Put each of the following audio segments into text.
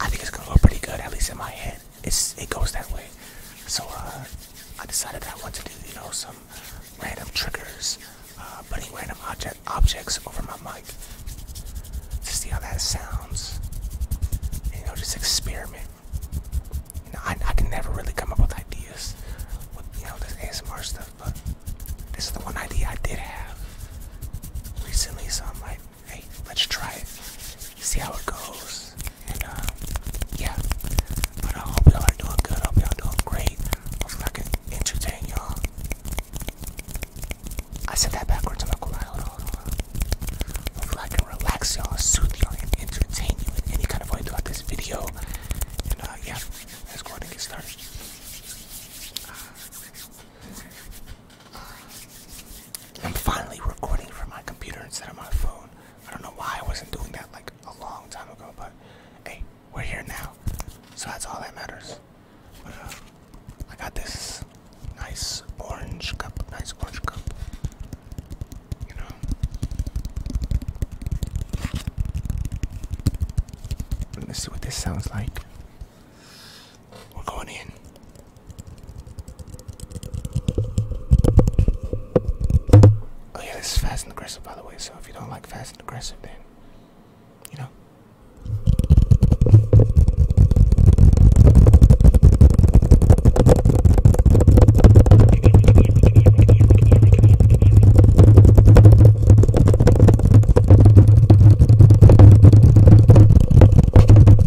I think it's gonna look pretty good, at least in my head. It's it goes that way. So uh, I decided that I want to do you know some random triggers, uh, putting random object objects over my mic to see how that sounds. you know, just experiment. You know, I, I can never really come up with ideas with you know this ASMR stuff, but this is the one idea I did have recently, so I'm like. Hey, let's try it. See how it goes. And uh, yeah. But I uh, hope y'all are doing good. I hope y'all doing great. Hopefully I can entertain y'all. I said that backwards. I'm not gonna lie. Hold on, hold I can relax y'all, soothe y'all, and entertain you in any kind of way throughout this video. And uh, yeah, let's go and get started. I'm finally recording from my computer instead of my phone. I don't know why I wasn't doing that like a long time ago, but hey, we're here now. So that's all that matters. Uh, I got this nice orange cup, nice orange cup. You know. Let's see what this sounds like. We're going in. Oh yeah, this is fast and aggressive, by the way. So if you don't like fast and aggressive, then you know.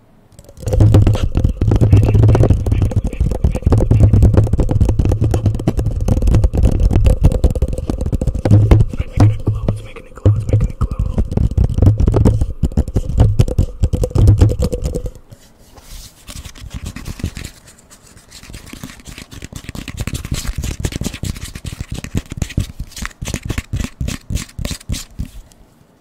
It's making it glow, it's making it glow, it's making it glow.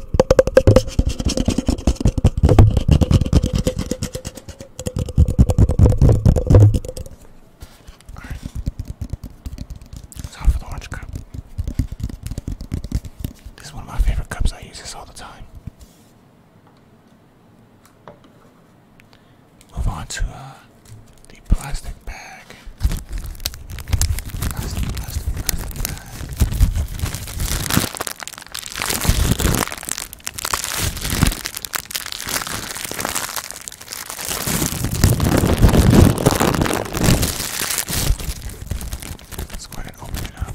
Time for the orange cup. This is one of my favorite cups. I use this all the time. Move on to uh, the plastic bag. Plastic, plastic, plastic bag. Let's go ahead and open it up.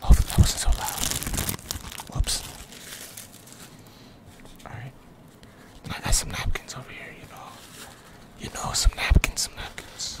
Hopefully that wasn't so loud. Whoops. Alright. I got some napkins over here, you know. You know, some napkins, some napkins.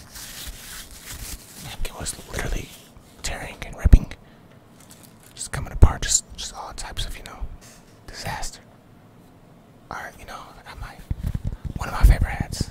It was literally tearing and ripping, just coming apart, just just all types of you know disaster. All right, you know one of my favorite hats.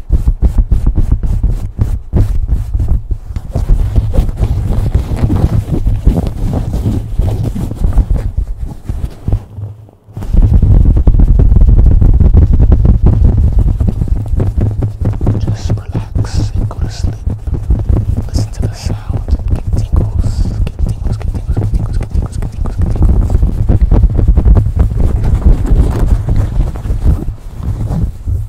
Just relax and go to sleep. Listen to the sound. Get tingles. Get tingles. Get tingles. Get tingles. Get tingles. Get tingles. Get tingles.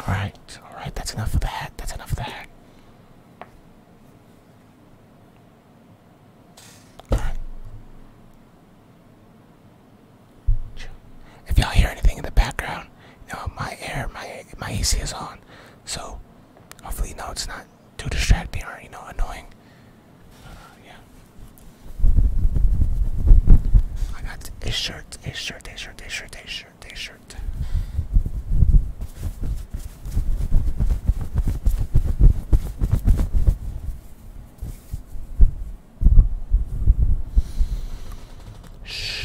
Alright, alright, that's enough of that. That's enough of that. Alright. If y'all hear anything in the background, you my air, my my AC is on. So hopefully you it's not too distracting or you know annoying. Uh, yeah. I got a shirt, a shirt, a shirt shirt, day shirt, day shirt, day shirt. Shh.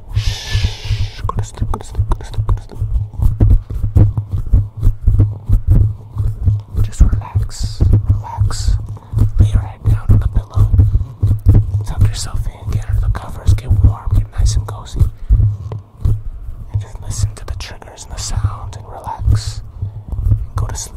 Shh, go to sleep, go to sleep, go to sleep, go to sleep. Just relax, relax. Lay your head down on the pillow. Tuck yourself in, get under the covers, get warm, get nice and cozy. And just listen to the triggers and the sounds and relax. go to sleep.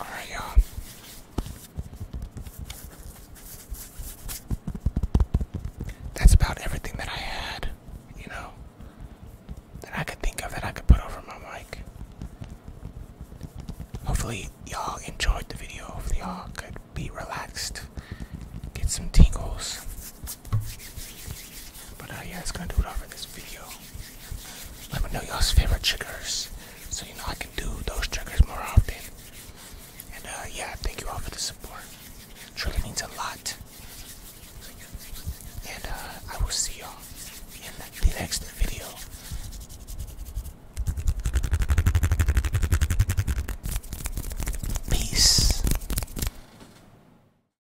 Alright, y'all. That's about everything that I had, you know, that I could think of that I could put over my mic. Hopefully, y'all enjoyed the video. Hopefully, y'all could be relaxed, get some tingles. But uh, yeah, it's gonna do it all for this video. Let me know y'all's favorite triggers, so you know I can do those triggers more often. And uh, yeah, thank you all for the support. truly means a lot. And uh, I will see y'all in the next video. Peace.